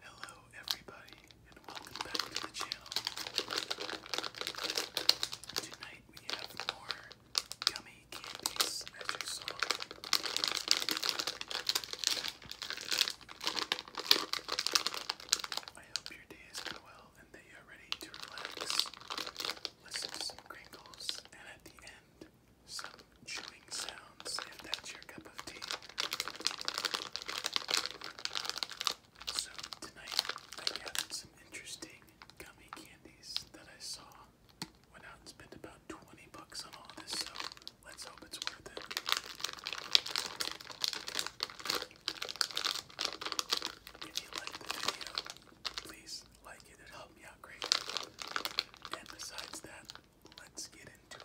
Hello, everybody, and welcome back to the channel. Tonight we have more gummy as you saw. I hope your day is going well and that are ready to relax, listen to some crinkles, and at the end, some chewing sounds if that's your cup of tea. So, tonight I gathered some interesting gummy candies that I saw. Went out and spent about 20 bucks on all this, so let's hope it's worth it. If you like the video, please like it, it helped me out greatly. And besides that, let's get into it.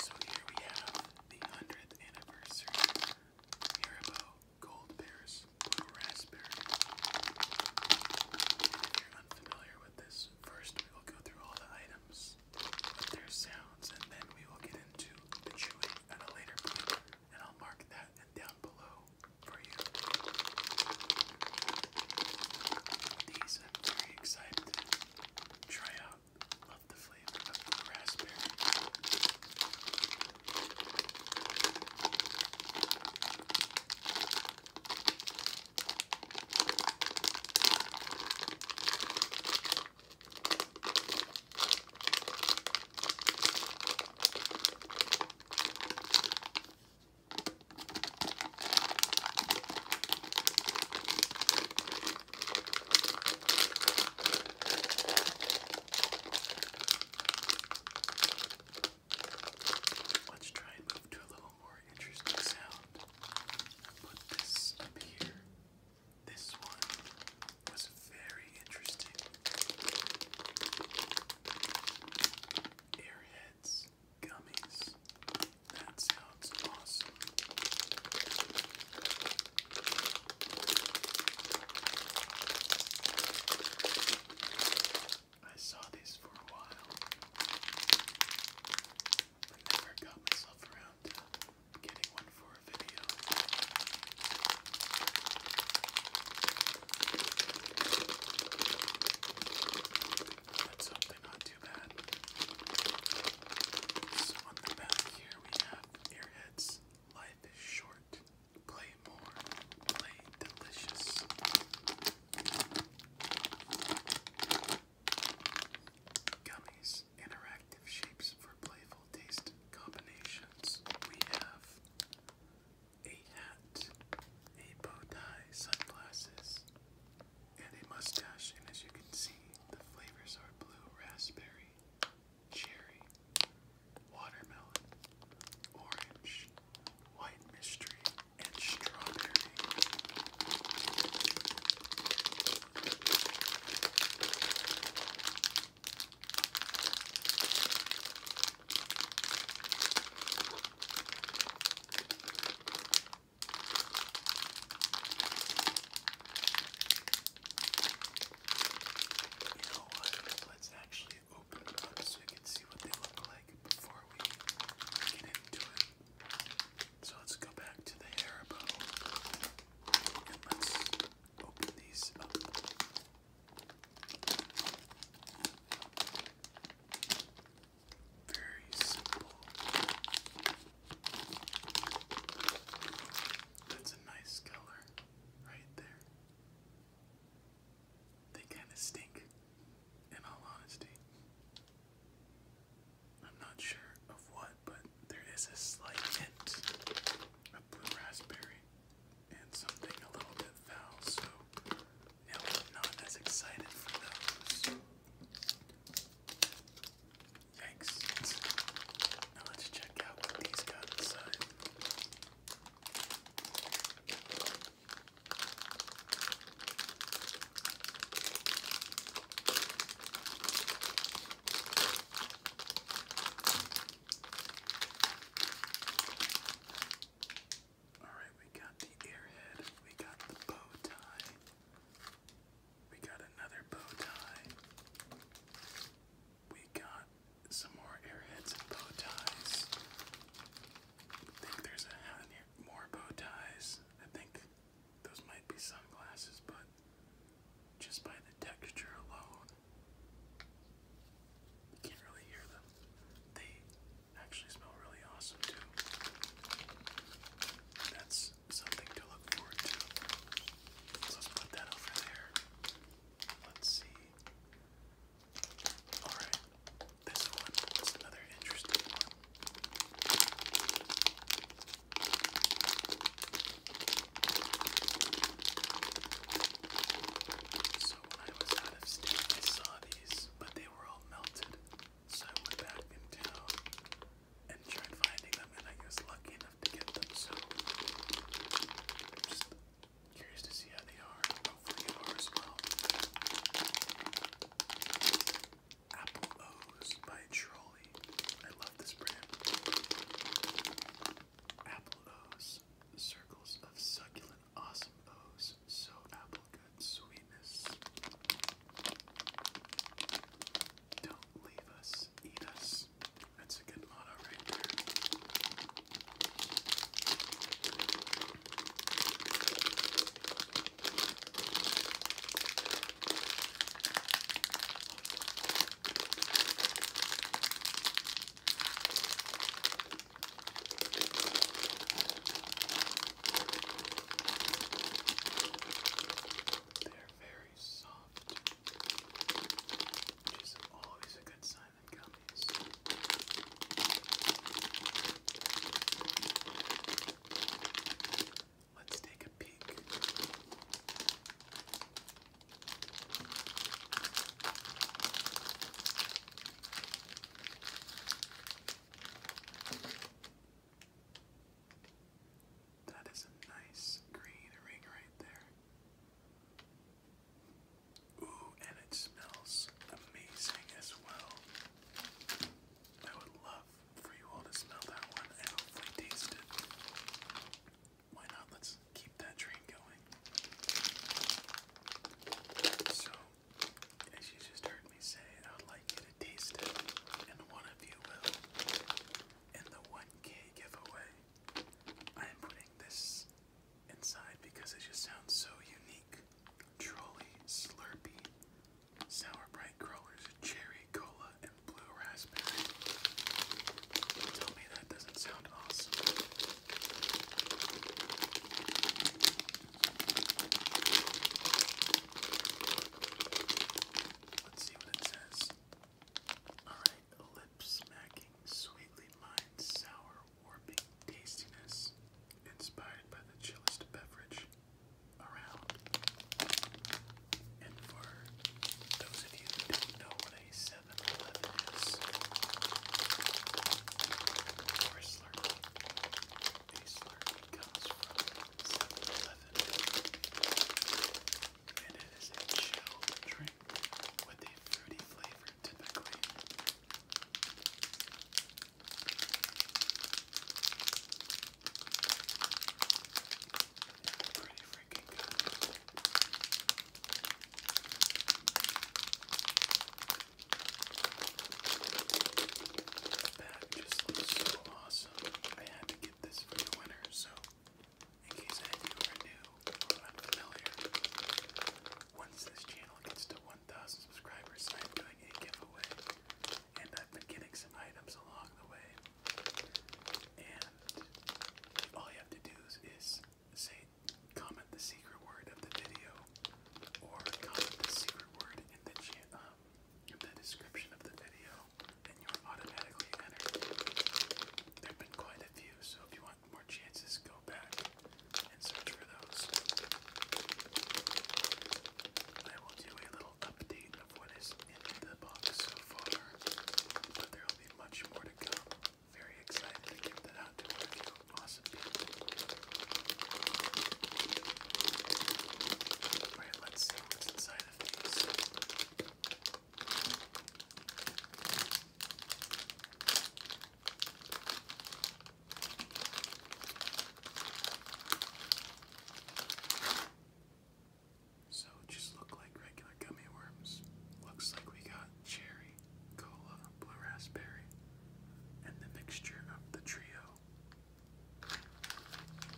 So here we have the 100th anniversary Haribo Gold Bears Blue Raspberry. If you're unfamiliar with this, first we will go through all the items their sounds, and then we will get into the chewing at a later point, and I'll mark that down below for you. These I'm very excited to try out Love the flavor of the raspberry. Let's try and move to a little more interesting sound. Put this up here. This one was very interesting. Airheads gummies. That sounds awesome. I saw these for a while, but never got myself around to getting one for a video. That's something I on the back here we have Airheads. Life is short. Play more. Play delicious. Gummies. Interactive shapes for playful taste combinations. We have a hat, a bow tie, sunglasses, and a mustache, and as you can see, the flavors are blue raspberry, cherry, watermelon, orange, white mystery, and strawberry. You know what? Let's actually open them up so we can see what they look like before we get into it. So let's go back to the Haribo and let's open these up. Very simple. That's a nice color right there. They kind of stink, in all honesty. I'm not sure of what, but there is a slight hint of blue raspberry and something a little bit foul, so not as excited for those. Thanks. Now let's check out what these got inside. All right, we got the airhead, we got the bow we got another bow tie. We got some more airheads and bow ties. I think there's a More bow ties. I think those might be sunglasses, but just by the texture alone, you can't really hear them. They actually smell really awesome too. That's something to look forward to. let's put that over there. Let's see. Alright, this one is another interesting one. So when I was out of state, I saw these, but they were all melted. So I went back in town and tried finding them, and I was lucky enough to get them. So just curious to see how they are. Hopefully, you are as well. Apple O's by Trolley. I love this brand. Apple O's, circles of succulent, awesome O's. So apple good sweetness. Don't leave us, eat us. That's a good motto right there. They're very soft, which is always a good sign in gummies. Let's take a peek. That is a nice green ring right there. Ooh, and it smells amazing as well. I would love for you all to smell that one and hopefully taste it. Why not? Let's keep that train going. So, as you just heard me say, I'd like you to taste it, and one of you will. In the 1K giveaway, I am putting this inside because it just sounds so unique. Trolley, Slurpee, Sour Bright Crawlers, Cherry Cola, and Blue Raspberry. Tell me that doesn't sound awesome. Let's see what it says. Alright, lip smacking, sweetly mined, sour, warping tastiness, inspired by the chillest beverage around. And for those of you don't know what a 7 Eleven is, or a Slurpee, a Slurpee comes from 7 and it is a chill drink with a fruity flavor typically. Pretty freaking good. The just looks so awesome. I had to get this for the winter, so in case any of you new or unfamiliar, once this channel gets to 1,000 subscribers, I'm doing a giveaway, and I've been getting some items along the way. And all you have to do is, say, comment the secret word of the video, or comment the secret word in the, uh, um, the description of the video, and you're automatically entered. There have been quite a few, so if you want more chances, go back and search for those. I will do a little update of what is in the box so far, but there will be much more to come. Very excited to give that out to you awesome all right, let's see what's inside of these. So just look like regular gummy worms. Looks like we got cherry, cola, blue raspberry, and the mixture of the trio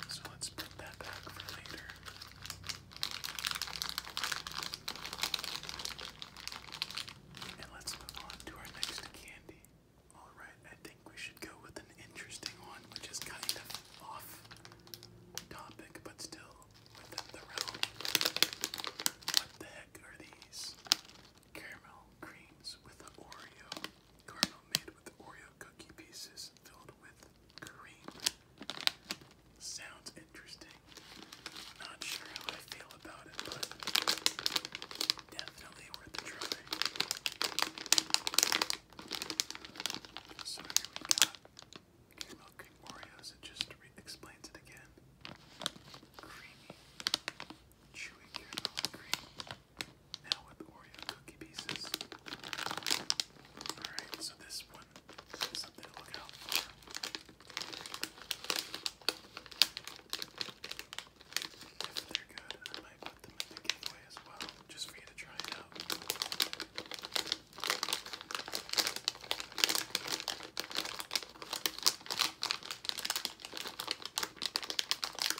so let's put that back for later. And let's move on to our next candy. Alright, I think we should go with an interesting one, which is kind of off topic, but still within the realm. What the heck are these? Caramel creams with Oreo. Caramel made with Oreo cookie pieces filled with cream. Sounds interesting. Not sure how I feel about it, but definitely worth a try. So here we got caramel cream Oreos. It just explains it again. Creamy, chewy caramel cream. Now with Oreo cookie pieces. Alright, so this one is something to look out for. If they're good, I might put them in the giveaway as well, just for you to try it out.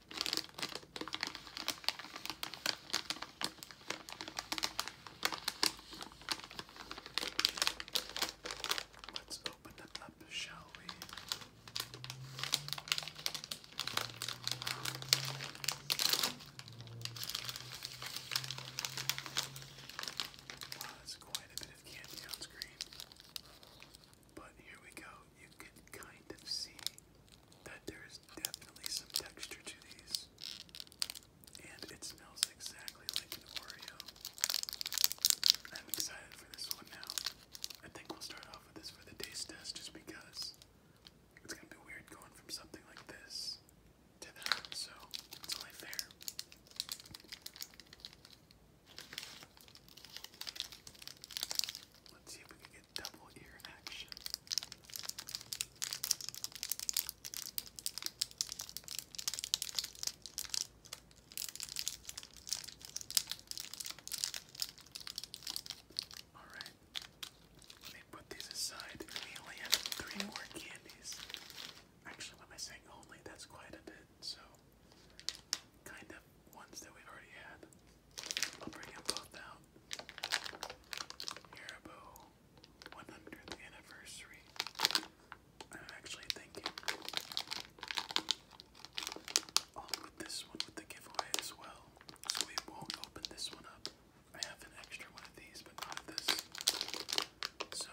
Let's open it up, shall we? Wow, that's quite a bit of candy on screen. But here we go. You can kind of see that there is definitely some texture to these. And it smells exactly like an Oreo. I'm excited for this one now. I think we'll start off with this for the taste test just because it's gonna be weird going from something like this to that, so it's only fair. Let's see if we can get double ear action. Alright, let me put these aside. We only have three more candies. Actually, when I saying only, that's quite a bit, so kind of ones that we've already had. I'll bring them both out. Haribo 100th anniversary. i actually thinking I'll put this one with the giveaway as well. So we won't open this one up. I have an extra one of these, but not this. So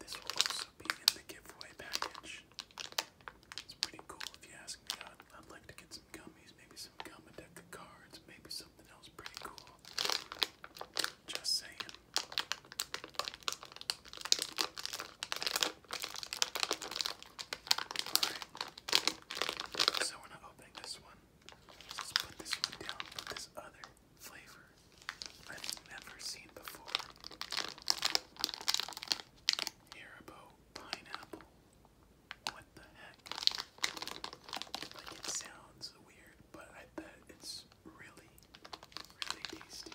this will also be in the giveaway package. It's pretty cool if you ask me. I'd, like to get gummies, maybe some gum, a deck of cards, maybe something else pretty cool. Just saying. Alright. So we're not opening this one. Let's put this one down this other flavor I've never seen before. Haribo pineapple what the heck? Like it sounds weird, but I bet it's really, really tasty.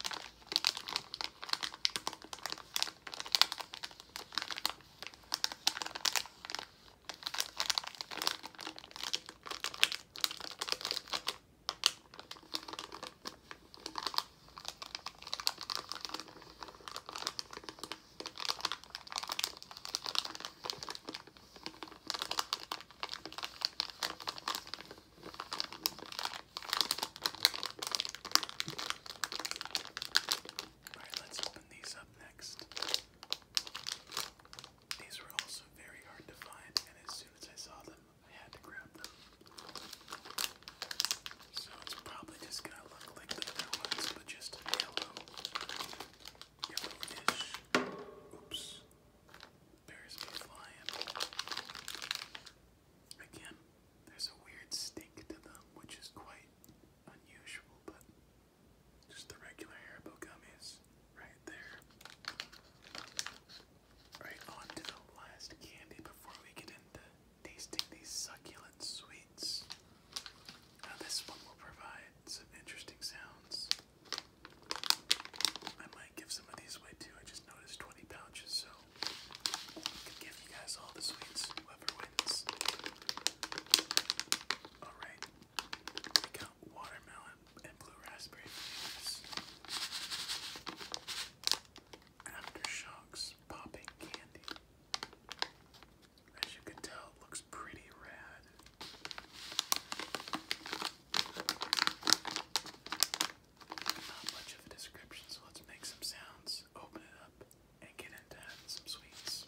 Alright, let's open these up next. These were also very hard to find, and as soon as I saw them, I had to grab them. So it's probably just gonna look like the other ones, but just yellow. Oops. Bears be flying. Again, there's a weird stink to them, which is quite unusual, but just the regular Haribo gummies right there. Right on the last candy before we get into tasting these succulent sweets. Now, this one will provide some interesting sounds. I might give some of these away too. I just noticed 20 pouches, so I can give you guys all the sweets, whoever wins. Alright, we got watermelon and blue raspberry flavors. Aftershocks popping candy. As you can tell, it looks pretty rad. Not much of a description, so let's make some sounds, open it up, and get into some sweets.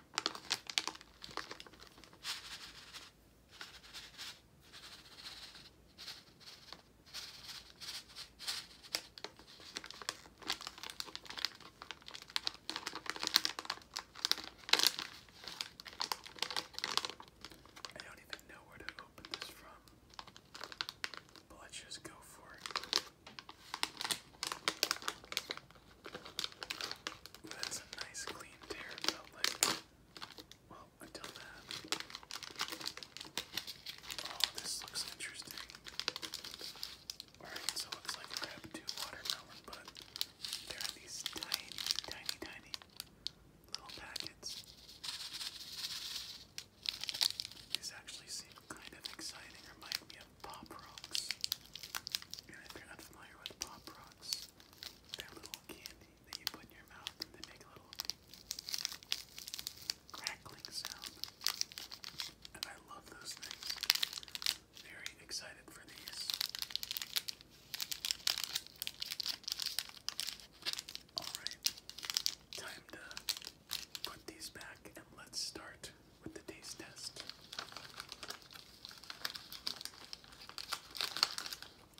I don't even know where to open this from, but let's just go for it. That's a nice clean tear, Well, until that. Oh, this looks interesting. Alright, so it looks like I have two watermelon, but there are these tiny, tiny, tiny little packets. These actually seem kind of exciting, remind me Pop Rocks. And if you're unfamiliar with Pop Rocks, they're little candy that you put in your mouth and they make a little crackling sound. And I love those things. Very excited for these. Alright, time to put these back and let's start with the taste test.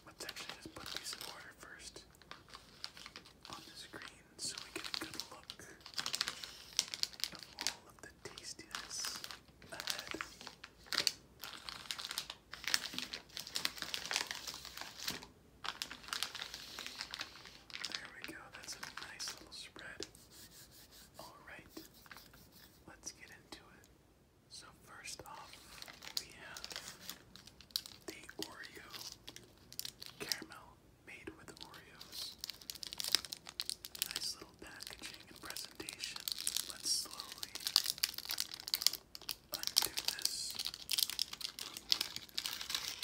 Let's actually just put these in first on the screen so we get a good look of all of the tastiness ahead. There we go, that's a nice little spread. Alright, let's get so first off, we have the Oreo caramel made with Oreos. Nice little packaging and presentation. Let's slowly undo this.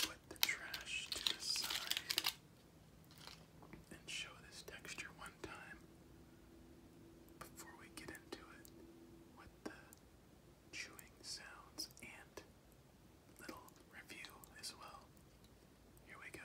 Put the trash to the side and show this texture one time before we get into it with the chewing sounds and little review as well. Here we go.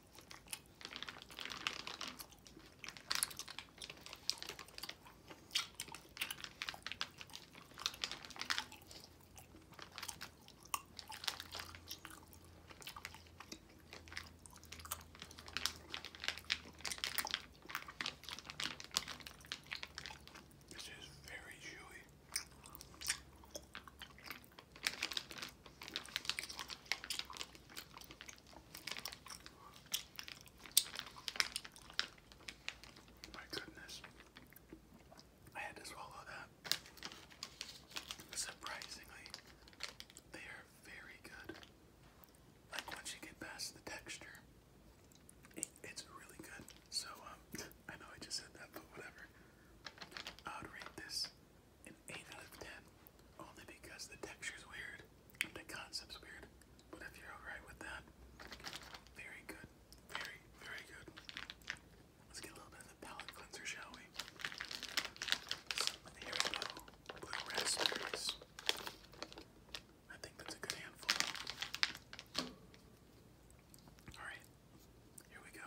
This is very chewy. My goodness. I had to swallow that. Surprisingly, they are very good. Like once you get past the texture, it's really good. So um, I know I just said that, but whatever. I would rate this an 8 out of 10 only because the texture's weird and the concept's weird. But if you're alright with that, very good. Very, very good. Let's get a little bit of the palette cleanser, shall we? Some Haribo blue raspberries. I think that's a good handful. Alright, here we go.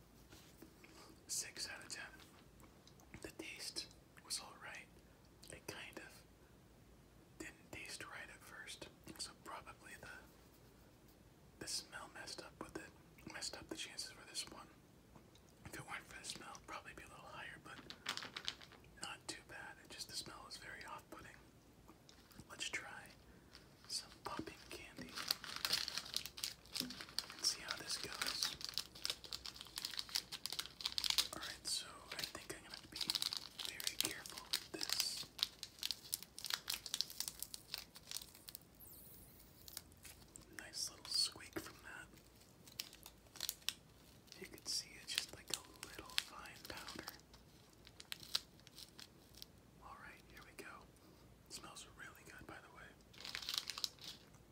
Six out of ten. The taste was alright. It kind of didn't taste right at first, so probably the the smell messed up with it. Messed up the chances for this one. If it weren't for the smell, probably be a little higher, but not too bad. It just the smell was very off-putting. Let's try some popping candy and see how this goes. Alright, so I think I'm gonna be very careful with this. Nice little squeak from that. You can see it's just like a little fine powder. Alright, here we go. smells really good, by the way.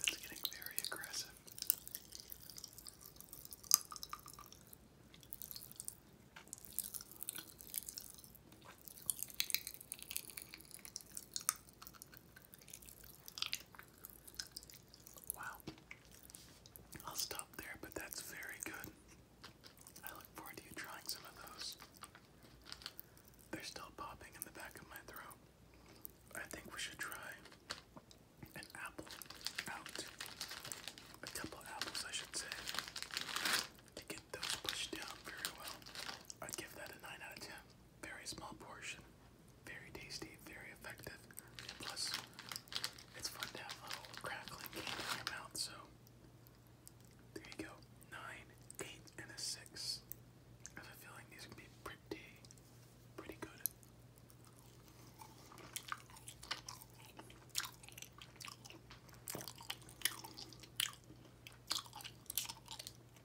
That's getting very aggressive. Wow. I'll stop there, but that's very good. I look forward to you trying some of those. They're still popping in the back of my throat. I think we should try an apple out. A couple apples, I should say, to get those pushed down very well. I'd give that a 9 out of 10. Very small portion, very tasty, very effective. Plus, it's fun to have a little crackling in your mouth, so there you go. Nine, eight, and a six. have a feeling these can be pretty, pretty good.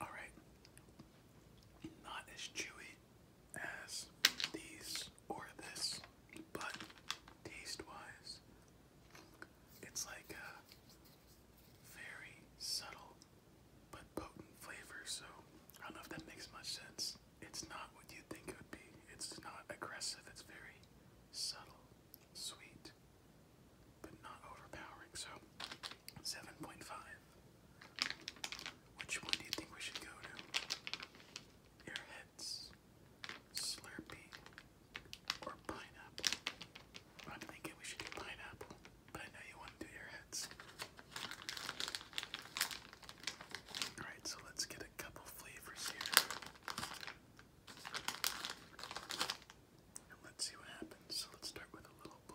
All right, not as chewy as these or this, but taste wise, it's like a very subtle but potent flavor. So I don't know if that makes much sense. It's not what you'd think it would be, it's not aggressive, it's very subtle, sweet, but not overpowering. So Seven point five. Which one do you think we should go to? Airheads, Slurpee, or pineapple? I'm thinking we should do pineapple, but I know you want to do airheads. Alright, so let's get a couple flavors here. And let's see what happens. So let's start with a little blue.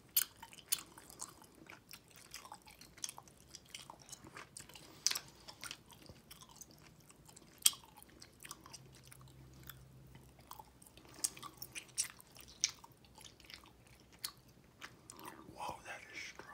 Whoa, that is strong.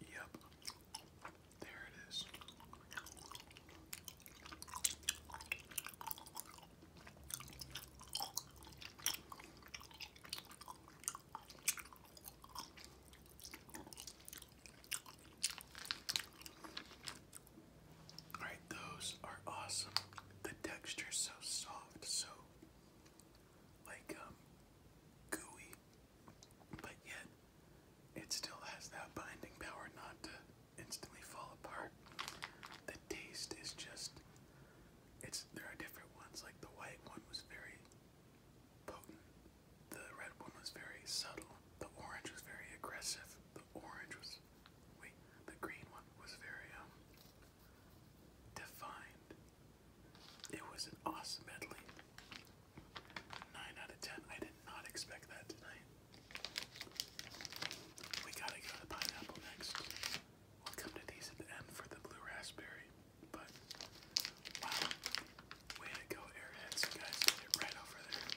Yep. There it is. All right, those are awesome. The texture's so soft, so like um gooey but yet it still has that binding power not to instantly fall apart. The taste is just it's there are different ones, like the white one was very potent, the red one was very subtle, the orange was very aggressive, the orange was wait, the green one was very um defined. It was an awesome medley. Nine out of ten. I did not expect that tonight. We gotta go to pineapple next. We'll come to these at the end for the blue raspberry. But wow, way to go, airheads! You guys did it right over there.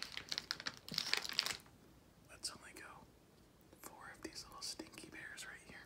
Let's only go four of these little stinky bears right here.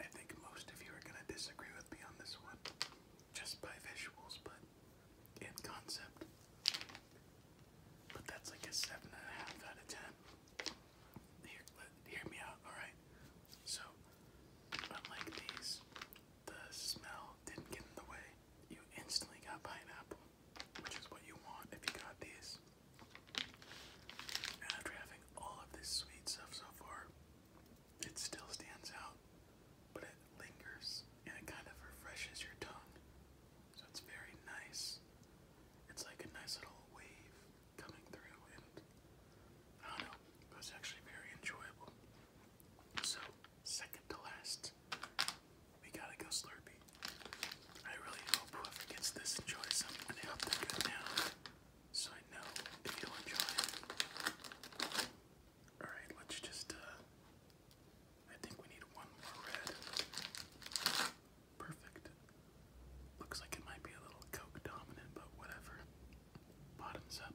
I think most of you are going to disagree with me on this one, just by visuals, but in concept. But that's like a 7.5 out of 10. hear me out, alright? So, unlike these, the smell didn't get in the way. You instantly got pineapple, which is what you want if you got these. And after having all of this sweet stuff so far, it still stands out, but it lingers and it kind of refreshes your tongue. So it's very nice. It's like a nice little wave coming through, and I don't know, it was actually very enjoyable. So, second to last, we gotta go Slurpee. I really hope whoever gets this enjoys them and help them go down so I know if you'll enjoy it. Alright, let's just, uh, I think we need one more red. Perfect. Looks like it might be a little Coke dominant, but whatever. Bottoms up.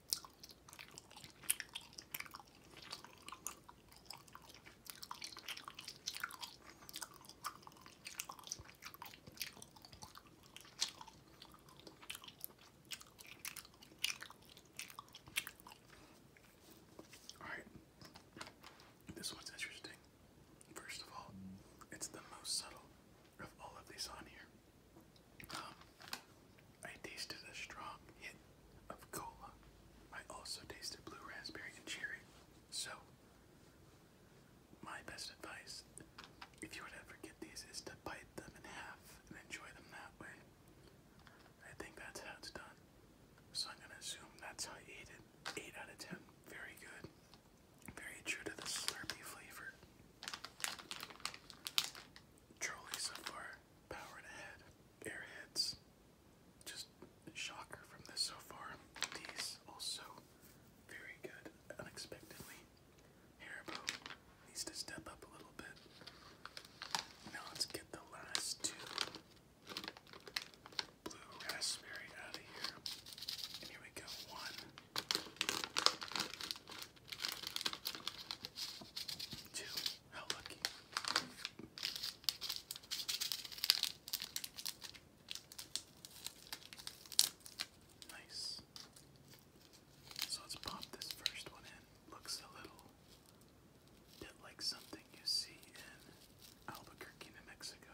All right. This one's interesting. First of all, it's the most subtle of all of these on here. Um, I tasted a strong hint of cola. I also tasted blue raspberry and cherry. So, my best advice, if you to ever get these, is to bite them in half and enjoy them that way. I think that's how it's done. So I'm gonna assume that's how I ate it. 8 out of 10. Very good. Very true to the Slurpee flavor. Trolley so far, powered ahead. Airheads, just shocker from this so far. These also very good, unexpectedly. Haribo needs to step up a little bit. Now let's get the last two blue raspberry out of here. here we go. One, Two. How lucky. Nice. So let's pop this first one in. Looks a little bit like something you see in Albuquerque, New Mexico.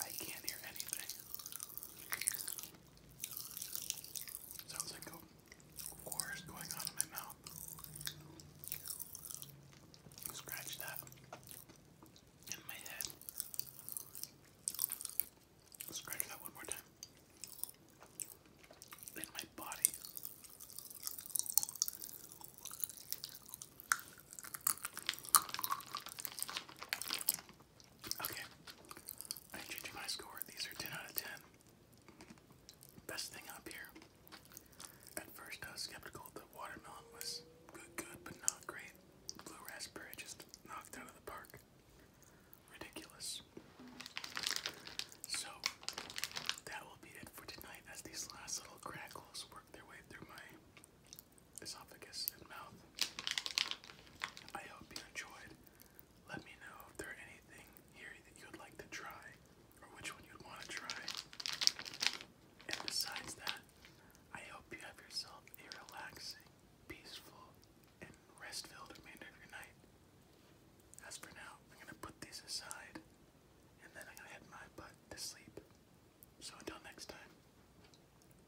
I can't hear anything. Sounds like a war is going on in my mouth. Scratch that in my head. Scratch that one more time. In my body. Okay. I'm changing my score. These are 10 out of 10. Best thing up here. At first, I was skeptical that watermelon was good, good, but not great. Blue raspberry just knocked out of the park ridiculous. So that will be it for tonight as these last little crackles work their way through my esophagus and mouth. I hope you enjoyed. Let me know if there are anything here that you would like to try or which one you'd want to try. And besides that, I hope you have yourself a relaxing, peaceful, and rest filled remainder of your night. As for now, I'm gonna put these aside and then I'm gonna head my butt to sleep. So until next time,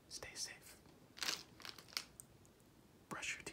stay safe. Brush your teeth.